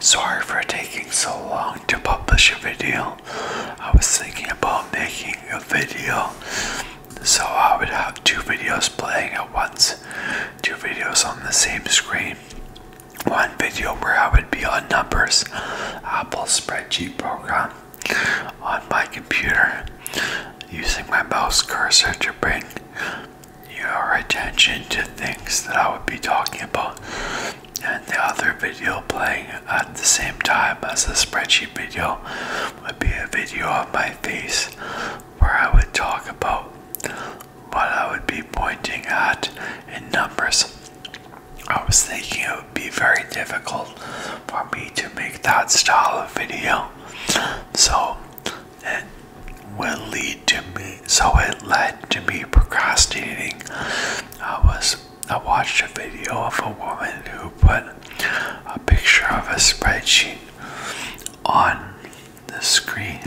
Sorry for taking so long to publish a video. I was thinking about making a video so I would have two videos playing at once, two videos on the same screen. One video where I would be on Numbers, Apple spreadsheet program, on my computer using my mouse cursor to bring your attention to things that I would be talking about and the other video playing at the same time as the spreadsheet video would be a video of my face where I would talk about what I would be pointing at in numbers. I was thinking it would be very difficult for me to make that style of video. So, will lead to me. So it led to me procrastinating. I was I watched a video of a woman who put a picture of a spreadsheet on the screen.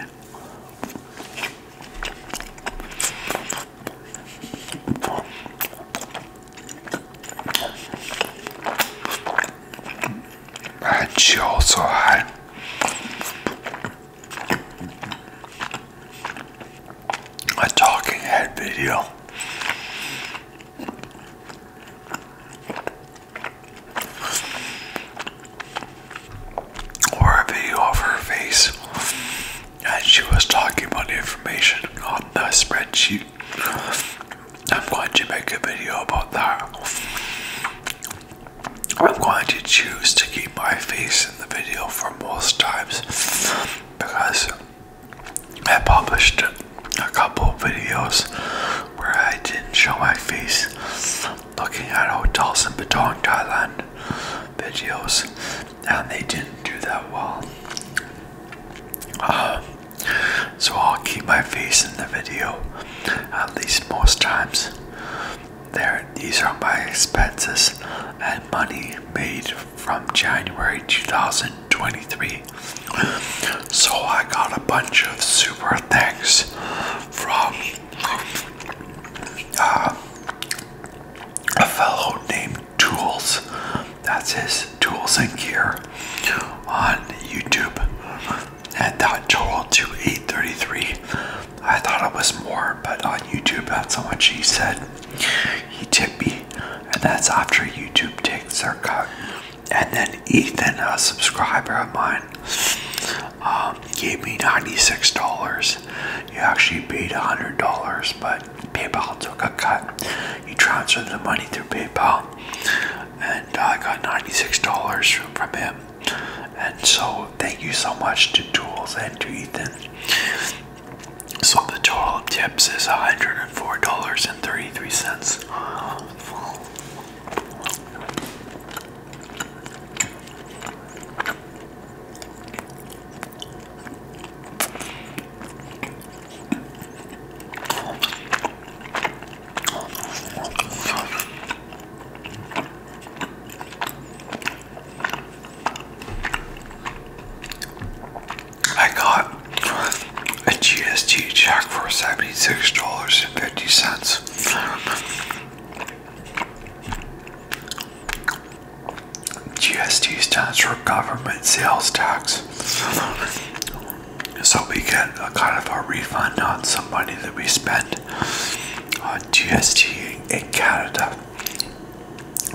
And she also had a talking head video. Or a video of her face, and she was talking about the information on the spreadsheet. I'm going to make a video about that. I'm going to choose to keep my face in the video for most times because I published a couple videos where I didn't show my face looking at hotels in Patong, Thailand videos and they didn't do that well. Um, so I'll keep my face in the video at least most times. There, these are my expenses and money made from January 2023. So I got a bunch of super things from uh, a fellow named Tools. That's his Tools and Gear on YouTube, at that totaled to 833. I thought it was more, but on YouTube, that's how much he said he tipped me. And that's after YouTube takes their cut. And then Ethan, a subscriber of mine, um, gave me $96. He actually paid $100, but PayPal took a cut. He transferred the money through PayPal, and I got $96 from him. And so, thank you so much to Tools and to Ethan. So, the total tips is $104.33. I got a GST check for $76.50. GST stands for government sales tax. So we get a kind of a refund on some money that we spend. GST in Canada.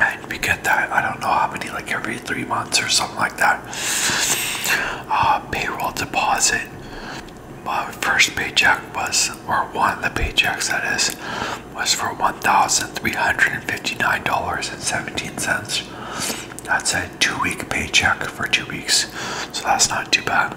And we get that, I don't know how many, like every three months or something like that. Uh, payroll deposit. My first paycheck was, or one of the paychecks that is, was for $1,359.17. That's a two week paycheck for two weeks. So that's not too bad.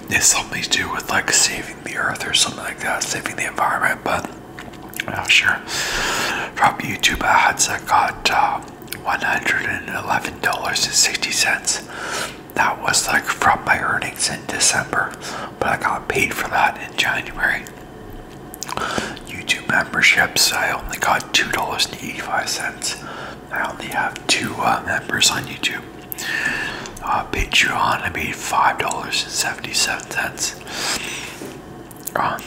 it's something to do with like saving the earth or something like that, saving the environment. But I'm oh, sure. From YouTube ads, I got $111.60. Uh, that was like from my earnings in December, but I got paid for that in January. YouTube memberships, I only got $2.85. I only have two uh, members on YouTube. Uh, Patreon, I made five dollars and seventy-seven cents. Um,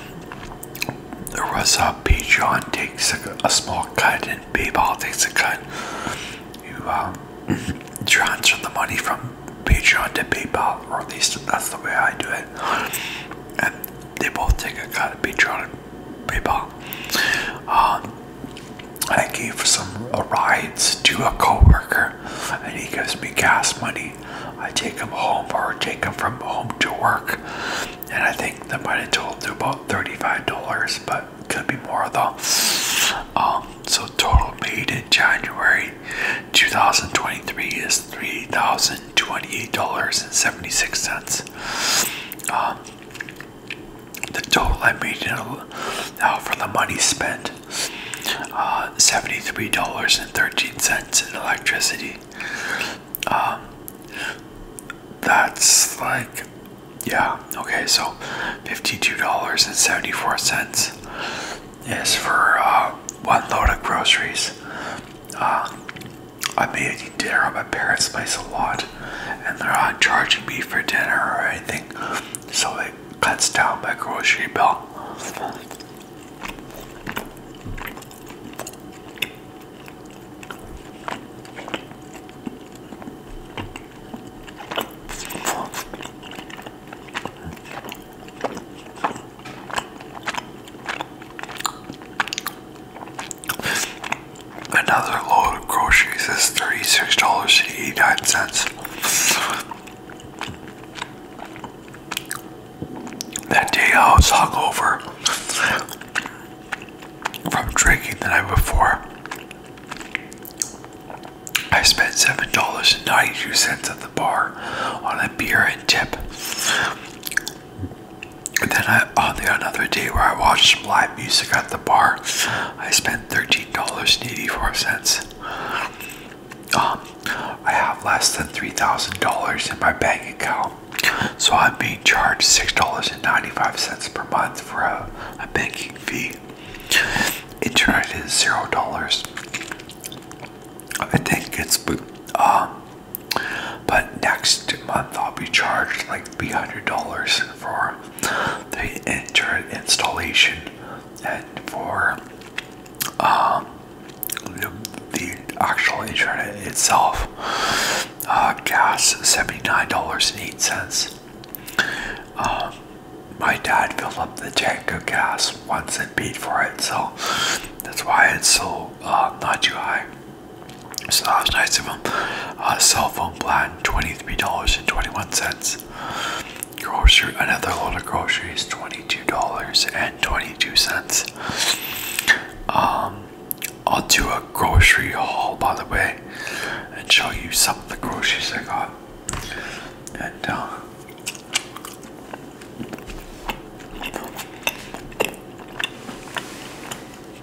there was a uh, Patreon takes a, small cut and PayPal takes a cut. You um, transfer the money from Patreon to PayPal, or at least that's the way I do it. And they both take a cut, Patreon and PayPal. Um, I gave some uh, rides to a coworker, and he gives me gas money. I take him home or take him from home to work, and I think that might have totaled to about thirty-five dollars, but could be more though. Um, so total made in January 2023 is three thousand twenty-eight dollars and seventy-six cents. Um, the total I made now for the money spent uh, $73.13 in electricity. Um, that's like, yeah, okay, so $52.74 is for uh, one load of groceries. Uh, I made dinner at my parents' place a lot and they're not charging me for dinner or anything, so it cuts down my grocery bill. Another load of groceries is $36.89. That day I was hungover from drinking the night before. I spent $7.92 at the bar on a beer and tip. And then I, on the other day where I watched some live music at the bar, I spent Thirteen dollars 84 um, I have less than $3,000 in my bank account, so I'm being charged $6.95 per month for a, a banking fee. Internet is $0. I think it's, um, but next month I'll be charged like $300 for the inter installation and for um, the, actual internet itself. Uh, gas $79.08. Um, my dad filled up the tank of gas once and paid for it, so that's why it's so uh, not too high. So that was nice of him. Uh, cell phone plan $23.21. Groceries, another load of groceries, $22.22. Um, I'll do a grocery haul by the way and show you some of the groceries I got. And uh,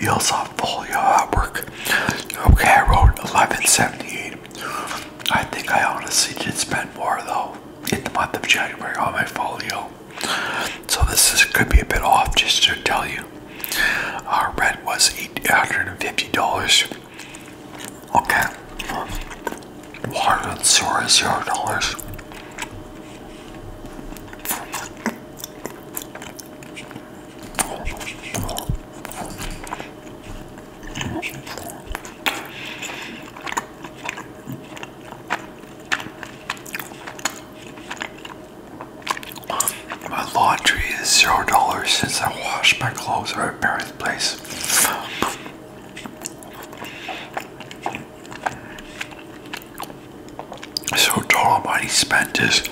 Meals on full your work. Okay, I wrote 1178. I think I honestly did spend more though in the month of January on my folio. So this could be a bit off just to tell you. Our rent was $850. Okay. Water and sewer zero dollars. My laundry is zero dollars since I washed my clothes at my parents' place. So total money spent is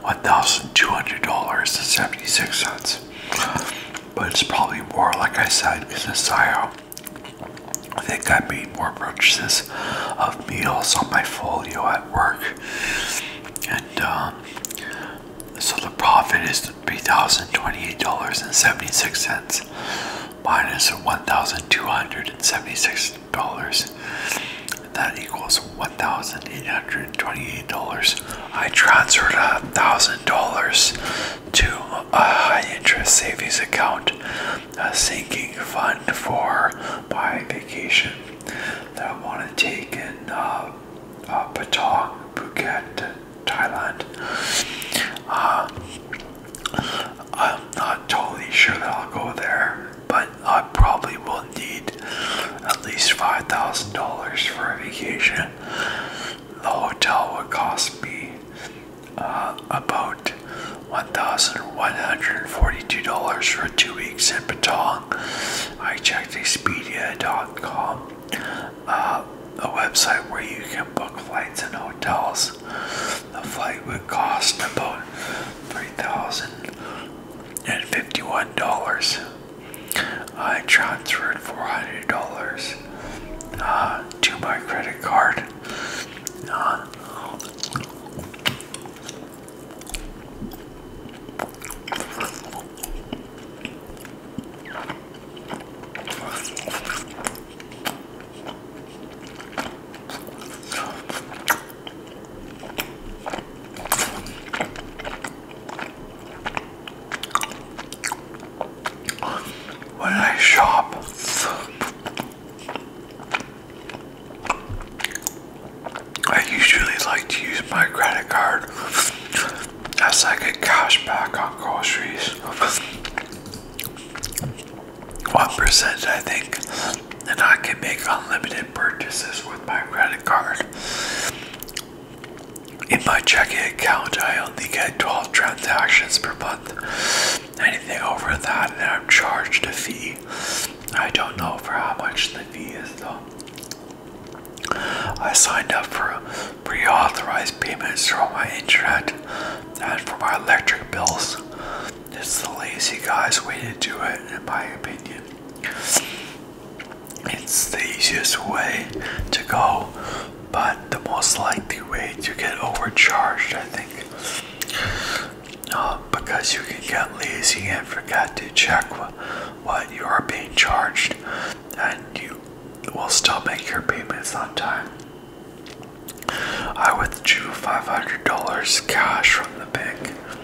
one thousand two hundred dollars and seventy six cents. But it's probably more, like I said, because I, I think I made more purchases of meals on my folio at work, and um, so the profit is three thousand twenty-eight dollars and seventy-six cents minus one thousand two hundred and seventy-six dollars That equals $1,828. I transferred $1,000 to a high interest savings account, a sinking fund for my vacation that I want to take in uh, uh Patong, Phuket, Thailand. Uh, I'm not totally sure that I'll go there, but I probably will need at least $5,000 for a vacation. The hotel would cost me uh, about $1,142 for two weeks in Patong. I checked Expedia.com, uh, a website where you can book flights and hotels. The flight would cost about $3,000. At fifty-one dollars. I transferred four hundred dollars uh, to my credit card. Uh, when I shop, I usually like to use my credit card as I get cash back on groceries. 1%, I think. And I can make unlimited purchases with my credit card. In my checking account, I only get 12 transactions per month. Anything over that, and I'm charged a fee. I don't know for how much the fee is though. I signed up for pre-authorized payments for my internet and for my electric bills. It's the lazy guy's way to do it, in my opinion. It's the easiest way to go, but the most likely way to get overcharged, I think. Uh, because you can get lazy and forget to check what you are being charged, and you will still make your payments on time. I withdrew $500 cash from the bank.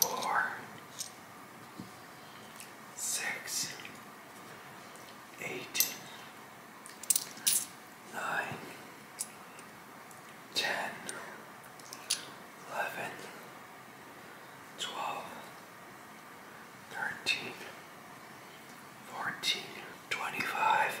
four, six, eight, nine, ten, eleven, twelve, thirteen, fourteen, twenty-five.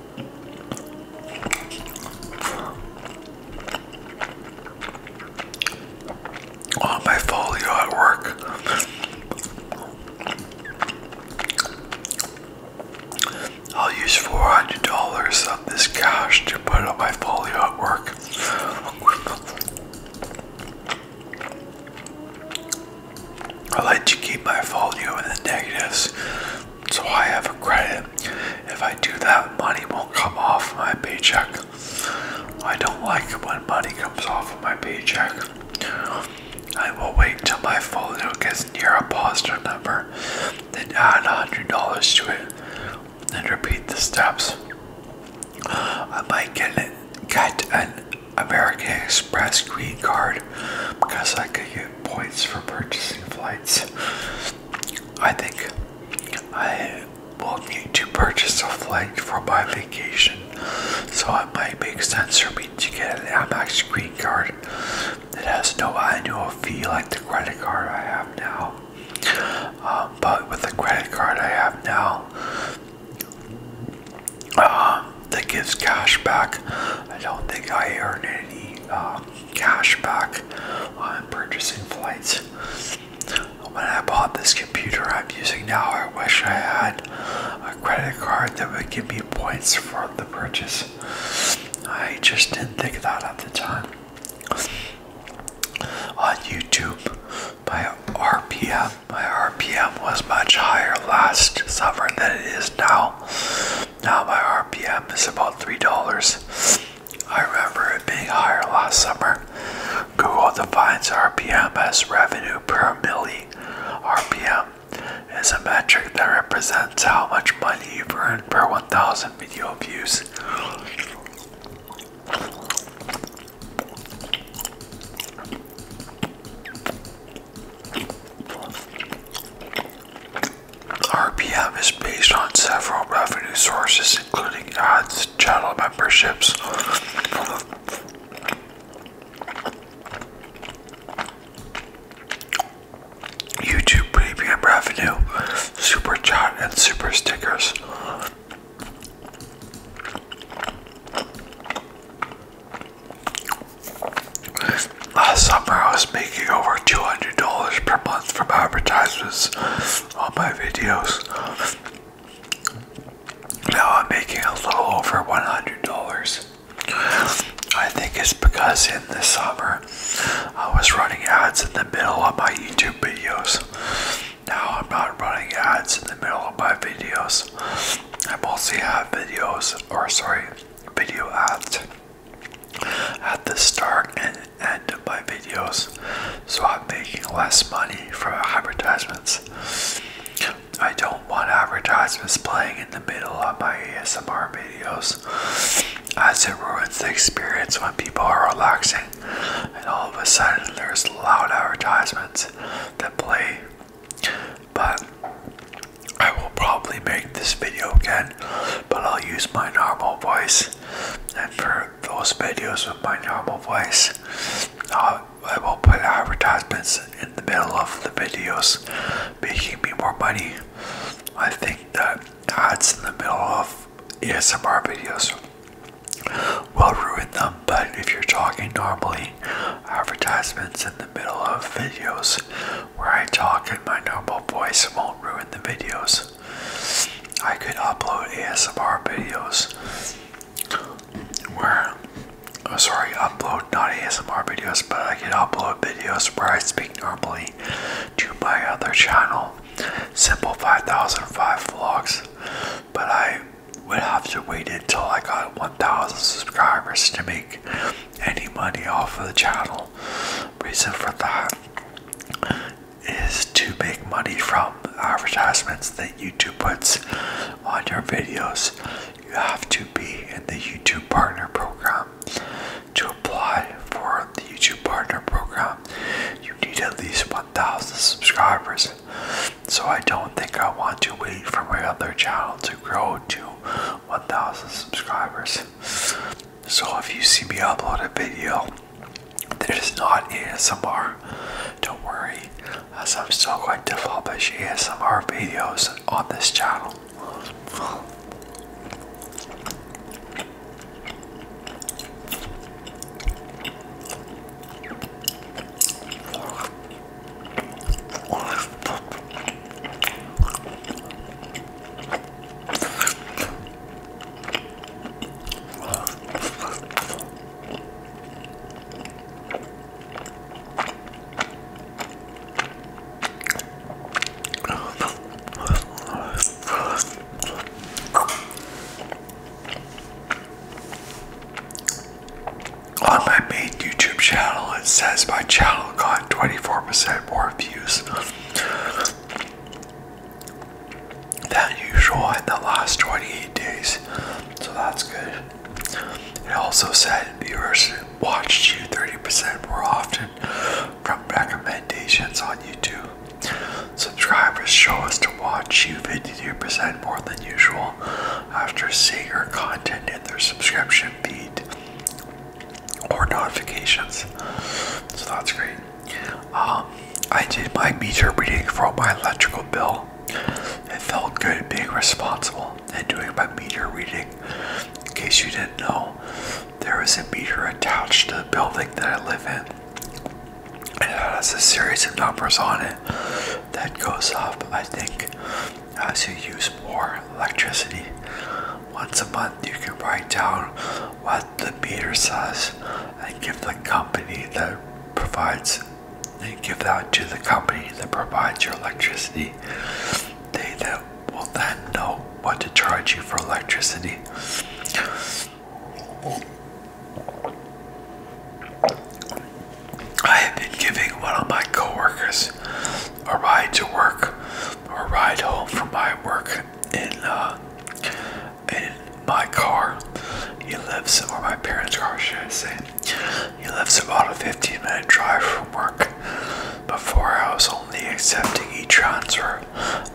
On oh, my folio at work, I'll use four hundred dollars of this cash to put on my folio at work. I like to keep my folio in the negatives so I have a credit. If I do that, money won't come off my paycheck. I don't like when money comes off my paycheck. I will wait till my phone folio gets near a positive number, then add a $100 to it, and repeat the steps. I might get get an American Express green card because I could get points for purchasing flights. I think I will need to purchase a flight for my vacation, so it might make sense for me to get an Amex credit card that has no annual fee like the credit card I have now. Um, but with the credit card I have now, um, that gives cash back, I don't think I earn any. Um, cash back on purchasing flights. When I bought this computer I'm using now, I wish I had a credit card that would give me points for the purchase. I just didn't think of that at the time. On YouTube, my RPM, my RPM was much higher last summer than it is now. Now my RPM is about $3. I remember it being higher last summer. Google defines RPM as revenue per milli. RPM is a metric that represents how much money you've earned per 1,000 video views. RPM is based on several revenue sources, including ads, channel memberships, YouTube Premium revenue, Super Chat, and Super Stickers. Last summer, I was making over $200 per month from advertisements on my videos. Now I'm making a little over $100. I think it's because in the summer, I was running ads in the middle of my YouTube videos. Now I'm not running ads in the middle of my videos. I mostly have videos, or sorry, video ads at the start and end of my videos, so I'm making less money from advertisements. I don't want advertisements playing in the middle of my ASMR videos, as it ruins the experience when people are relaxing and all of a sudden there's loud advertisements that play. But I will probably make this video again, but I'll use my normal voice. And for those videos with my normal voice, uh, I will put advertisements in the middle of the videos, making me more money. I think that ads in the middle of ASMR videos will ruin them, but if you're talking normally, advertisements in the middle of videos where I talk in my normal voice won't ruin the videos. I could upload ASMR videos where, oh sorry, upload not ASMR videos, but I could upload videos where I speak normally to my other channel, Simple 5005 Vlogs, but I would have to wait until I got 1,000 subscribers to make any money off of the channel. Reason for that is to make money from advertisements that YouTube puts on your videos. You have to be in the YouTube Partner Program. To apply for the YouTube Partner Program, you need at least 1,000 subscribers. So I don't think I want to wait for my other channel to grow to 1,000 subscribers. So if you see me upload a video that is not ASMR, don't worry, as I'm still going to publish ASMR videos on this channel. On my main YouTube channel, it says my channel got 24% more views than usual in the last 28 days, so that's good. It also said viewers watched you 30% more often from recommendations on YouTube. Subscribers show us to watch you 52% more than usual after seeing your content in their subscription feed or notifications. So that's great. Um, I did my meter reading for my electrical bill. It felt good being responsible and doing my meter reading. In case you didn't know, there is a meter attached to the building that I live in. And it has a series of numbers on it that goes up, I think, as you use more electricity. Once a month, you can write down what the meter says and give the company that provides they give that to the company that provides your electricity. They that will then know what to charge you for electricity. I have been giving one of my coworkers a ride to work or ride home from my work in uh, in my car. He lives, or my parents' car, should I say. He lives about a 15 minute drive from work. Before I was only accepting e transfer,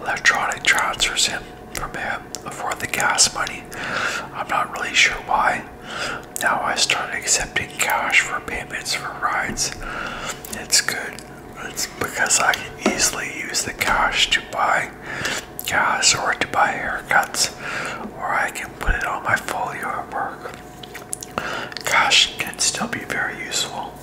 electronic transfers in from him for the gas money. I'm not really sure why. Now I start accepting cash for payments for rides. It's good. It's because I can easily use the cash to buy gas or to buy haircuts, or I can put it on my folio at work. Cash can still be very useful.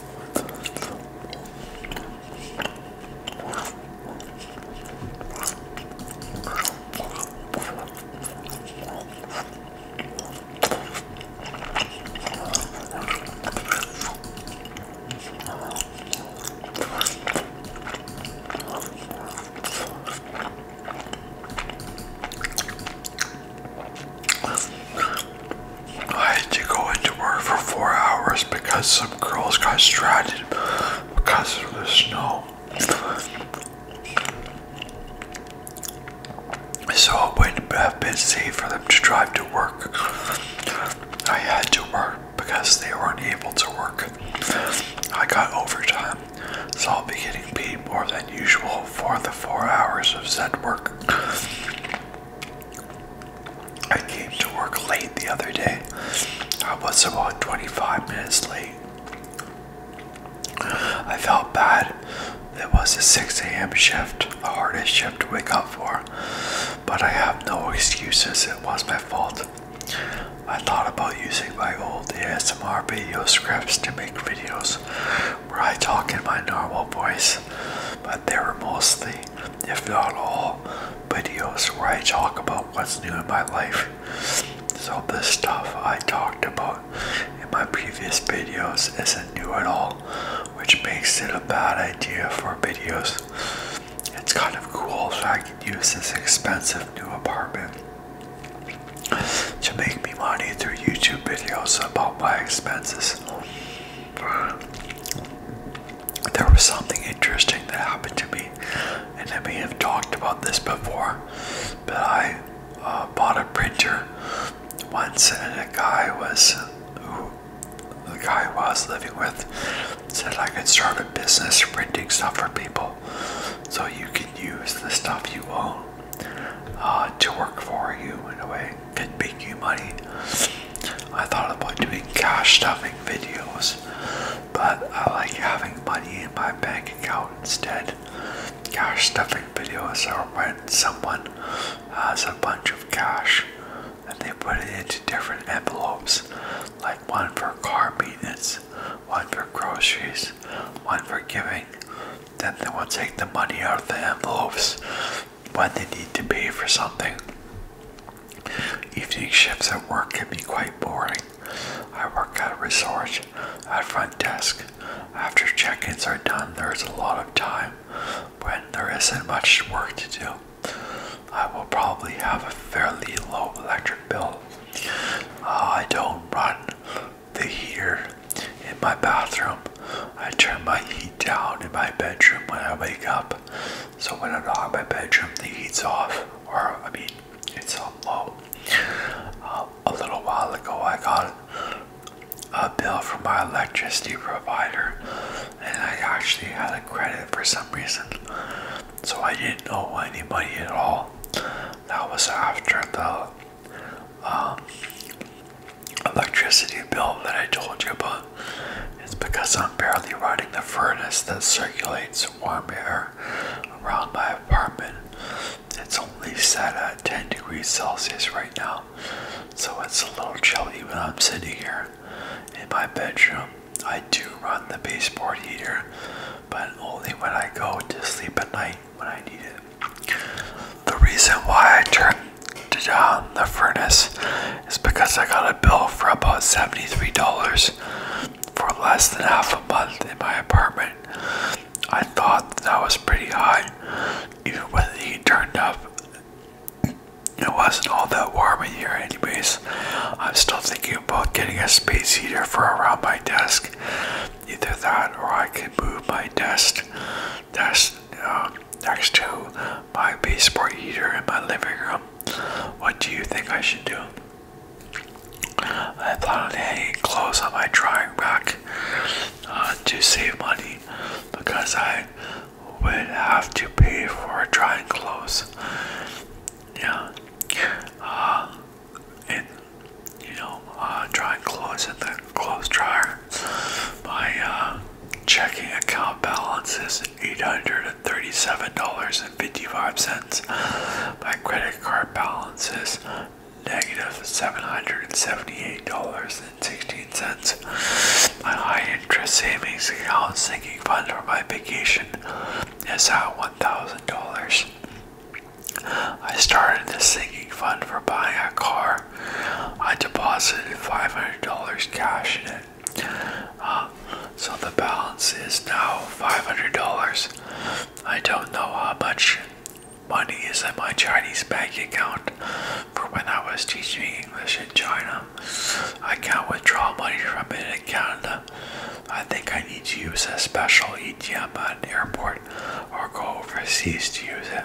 I had to go into work for four hours because some girls got stranded because of the snow. So I went not have been safe for them to drive to work. I had to work because they weren't able to work. I got overtime, so I'll be getting paid more than usual for the four hours of said work. I came to work late the other day. I was about 25 minutes late. I felt bad. It was a 6 a.m. shift, the hardest shift to wake up for. But I have no excuses, it was my fault. I thought about using my old ASMR video scripts to make videos where I talk in my normal voice, but they were mostly, if not all, videos where I talk about what's new in my life. So, the stuff I talked about in my previous videos isn't new at all, which makes it a bad idea for videos. It's kind of cool if I can use this expensive new apartment to make me money through YouTube videos about my expenses. There was something interesting that happened to me, and I may have talked about this before, but I uh, bought a printer once, and a guy was who the guy I was living with said I could start a business printing stuff for people, so you can use the stuff you own uh, to work for you in a way can make you money. I thought about doing cash stuffing videos, but I like having money in my bank account instead cash stuffing videos are when someone has a bunch of cash and they put it into different envelopes, like one for car payments, one for groceries, one for giving. Then they will take the money out of the envelopes when they need to pay for something. Evening shifts at work can be quite boring. I work at a resort at front desk, after check ins are done, there is a lot of time when there isn't much work to do. I will probably have a fairly low electric bill. Uh, I don't run the heater in my bathroom. I turn my heat down in my bedroom when I wake up. So when I'm in my bedroom, the heat's off, or I mean, it's on low. Uh, a little while ago, I got a bill from my electricity provider, and I actually had a credit for some reason, so I didn't owe any money at all. That was after the um, electricity bill that I told you about. It's because I'm barely running the furnace that circulates warm air around my apartment, it's only set at 10 degrees Celsius right now, so it's a little chilly when I'm sitting here in my bedroom. I do run the baseboard heater, but only when I go to sleep at night when I need it. The reason why I turned down the furnace is because I got a bill for about $73 for less than half a month in my apartment I thought that was pretty high. Even when the heat turned up, it wasn't all that warm in here, anyways. I'm still thinking about getting a space heater for around my desk. Either that, or I can move my desk, desk um, next to my baseboard heater in my living room. What do you think I should do? I plotted a close on my drawing rack uh, to save money because I would have to pay for drying clothes. Yeah. Uh, and you know, uh, drying clothes in the clothes dryer. My uh, checking account balance is eight hundred and thirty-seven dollars and fifty-five cents. My credit card balance is negative $778.16. My high interest savings account sinking fund for my vacation is at $1,000. I started the sinking fund for buying a car. I deposited $500 cash in it. Uh, so the balance is now $500. I don't know how much money is in my Chinese bank account For when I was teaching English in China. I can't withdraw money from it in Canada. I think I need to use a special ATM at an airport or go overseas to use it.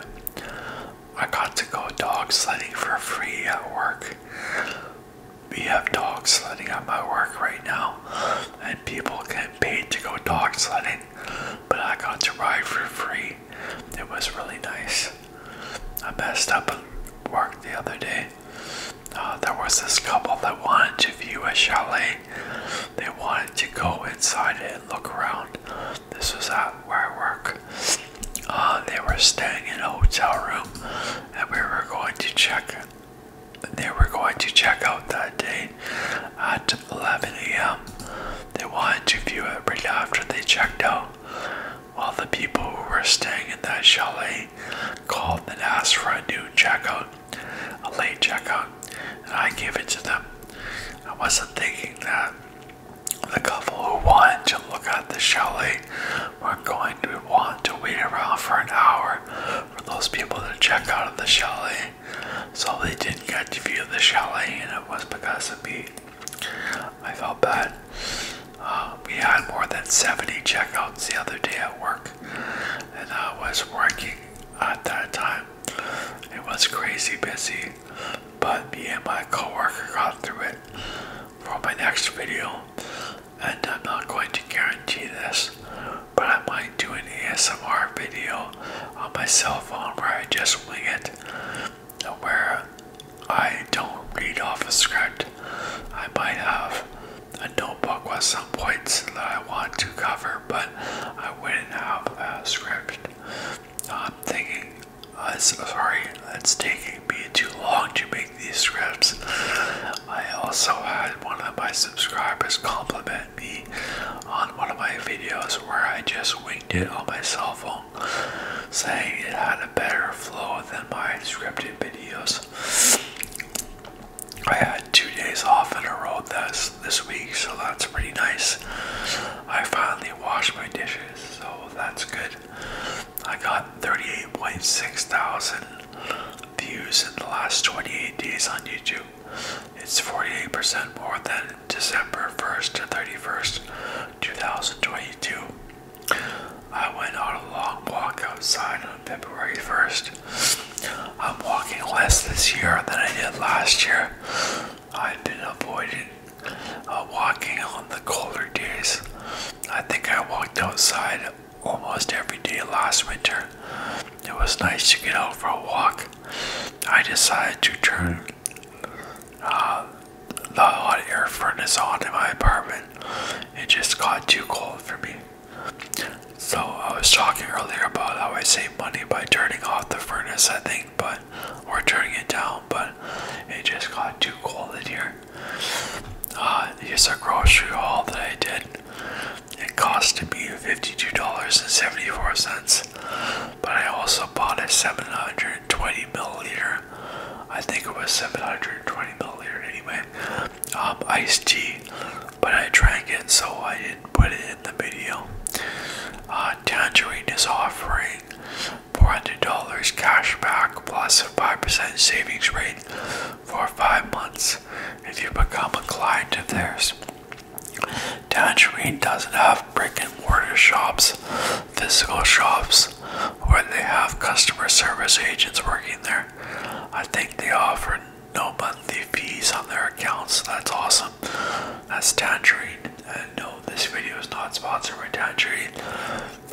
I got to go dog sledding for free at work. We have dog sledding at my work right now, and people get paid to go dog sledding but I got to ride for free. It was really nice. I messed up at work the other day. Uh, there was this couple that wanted to view a chalet. They wanted to go inside it and look around. This was at where I work. Uh, they were staying in a hotel room, and we were going to check they were going to check out that day at 11 a.m. They wanted to view it right after they checked out. While the people who were staying in that chalet called and asked for a new check out, a late check out, I gave it to them. I wasn't thinking that the couple who wanted to look at the chalet were going to want to wait around for an hour for those people to check out of the chalet so they didn't get to view the chalet, and it was because of me. I felt bad. Uh, we had more than 70 checkouts the other day at work, and I was working at that time. It was crazy busy, but me and my coworker got through it for my next video, and I'm not going to guarantee this, but I might do an ASMR video on my cell phone where I just wing it, where I don't read off a script. I might have a notebook with some points that I want to cover, but I wouldn't have a script. I'm thinking, uh, sorry, it's taking me too long to make these scripts. I also had one of my subscribers compliment me on one of my videos where I just winged it on my cell phone, saying it had a better flow than my scripted videos. I had two days off in a row this, this week, so that's pretty nice. I finally washed my dishes, so that's good. I got 38.6 thousand views in the last 28 days on YouTube, it's 48% more than December 1st to 31st, 2022. I went on a long walk outside on February 1st. I'm walking less this year than I did last year. I've been avoiding uh, walking on the colder days. I think I walked outside almost every day last winter. It was nice to get out for a walk. I decided to turn uh, the hot air furnace on in my apartment. It just got too cold for me. So I was talking earlier about how I save money by turning off the furnace, I think, but or turning it down, but it just got too cold in here. Uh, here's a grocery haul that I did. It cost me $52.74, but I also bought a 720 milliliter, I think it was 720 milliliter anyway, um, iced tea, but I drank it so I didn't put it in the video. Uh, Tangerine is offering $400 cash back plus a 5% savings rate for five months if you become a client of theirs. Tangerine doesn't have brick and mortar shops, physical shops, where they have customer service agents working there. I think they offer no monthly fees on their accounts. That's awesome. That's Tangerine. And uh, no, this video is not sponsored by Tangerine,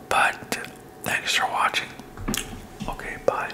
but thanks for watching. Okay, bye.